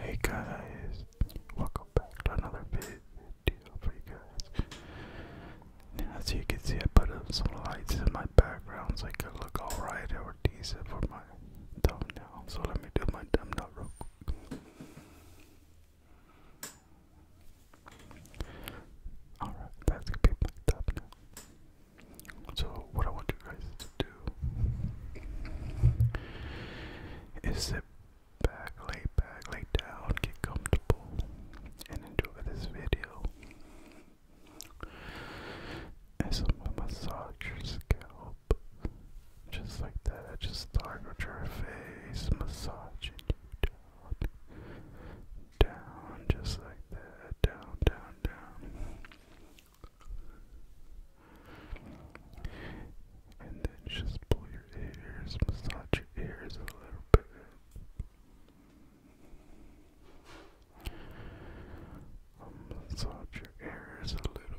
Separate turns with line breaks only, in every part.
Hey, guys, welcome back to another video for you guys. as you can see, I put up some lights in my background so it could look alright or decent for my thumbnail. So let me do my thumbnail real quick. Alright, that's gonna be picked up So, what I want you guys to do is sit back, lay back, lay down, get comfortable, and enjoy this video. As I massage your scalp. Just like that, I just target your face, massaging you down. Down, just like that, down, down, down. And then just pull your ears, massage your ears a little bit. massage your ears a little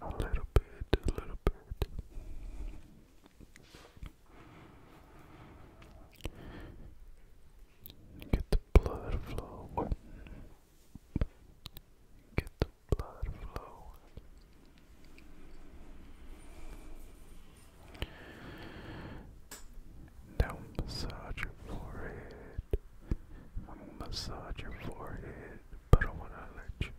a little bit, a little bit. Get the blood flow. Get the blood flow. Now massage your forehead. I'm massage your forehead, but I wanna let you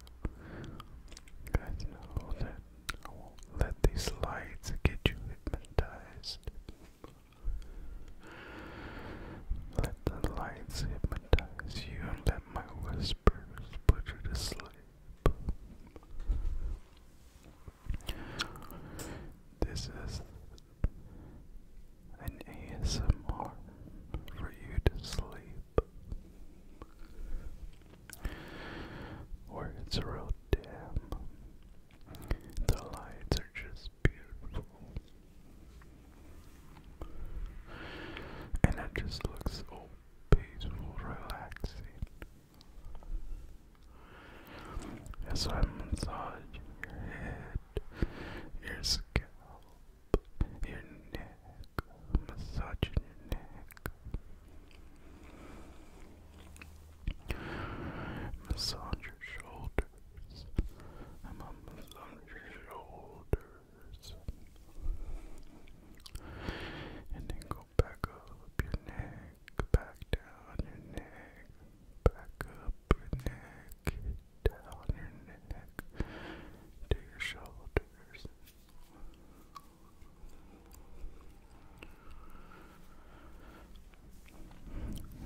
guys know that I won't let these lights get you hypnotized. Let the lights hypnotize you and let my whispers put you to sleep. This is an ASMR for you to sleep. Or it's real dim. The lights are just beautiful. And it just looks so peaceful, relaxing. As I massage your head, your scalp, your neck, massaging your neck, massage your shoulders. I'm on massage your shoulders, and then go back up your neck, back down your neck, back up your neck, down your neck, to your shoulders.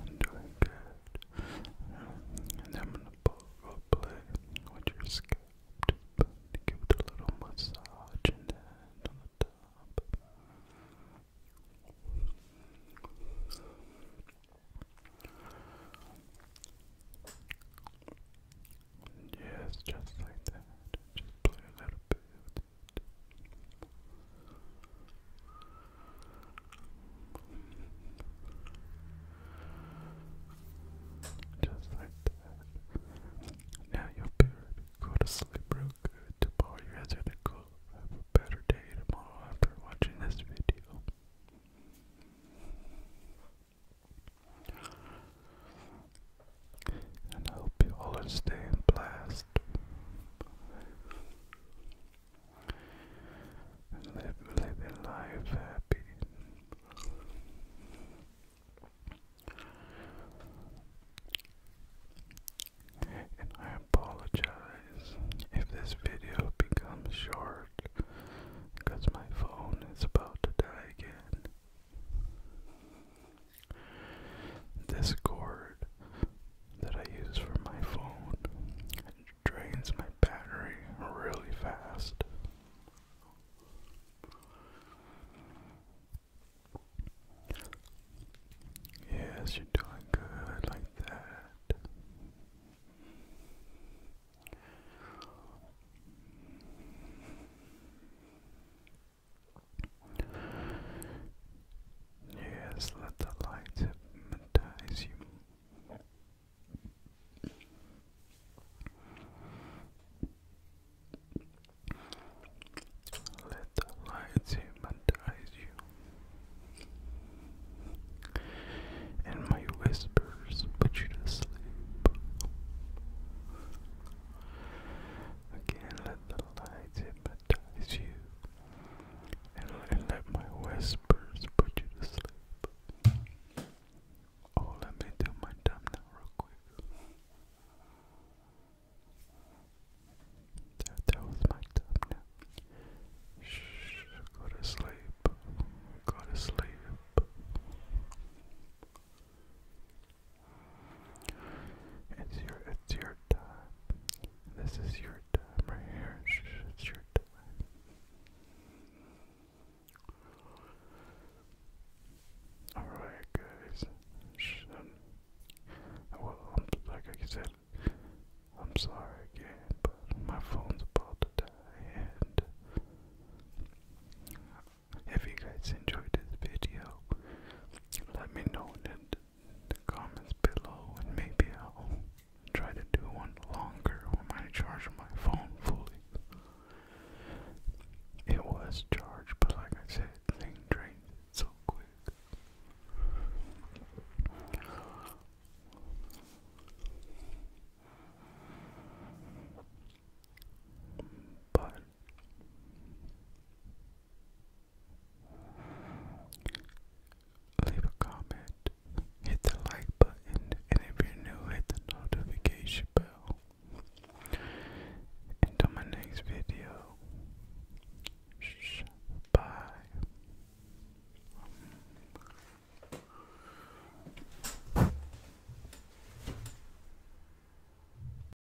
doing good. And I'm gonna pull, go play with your scalp tube to give it a little massage and then on the top. Yes, just like that. Just play a little bit with it. Just like that. Now you're Go to sleep real good. Tomorrow you are gonna go have a better day tomorrow after watching this video. And I hope you all are staying blessed. And live, living life happy. And I apologize if this video becomes short because my phone is about to die again. This that I use for my phone drains my battery really fast. Yes, you're doing good like that. Yes, let the light hypnotize you. Let the lights hypnotize you, and my whispers put you to sleep. Again, let the lights hypnotize you, and, let my whispers put you to sleep. Oh, let me do my thumbnail real quick. That, that was my thumbnail. Shh, go to sleep. Go to sleep. It's your, it's your time. This is your time right here. It's your time. Alright, guys. well, um, like I said, I'm sorry again, but my phone's about to die. if you guys enjoyed this video, let me know the comments below and maybe I'll try to do one longer or might charge my phone fully. It was charged, but like I said, thing drained so quick. But Leave a comment, hit the like button, and if you're new, hit the notification bell. Until my next video, Shh, bye.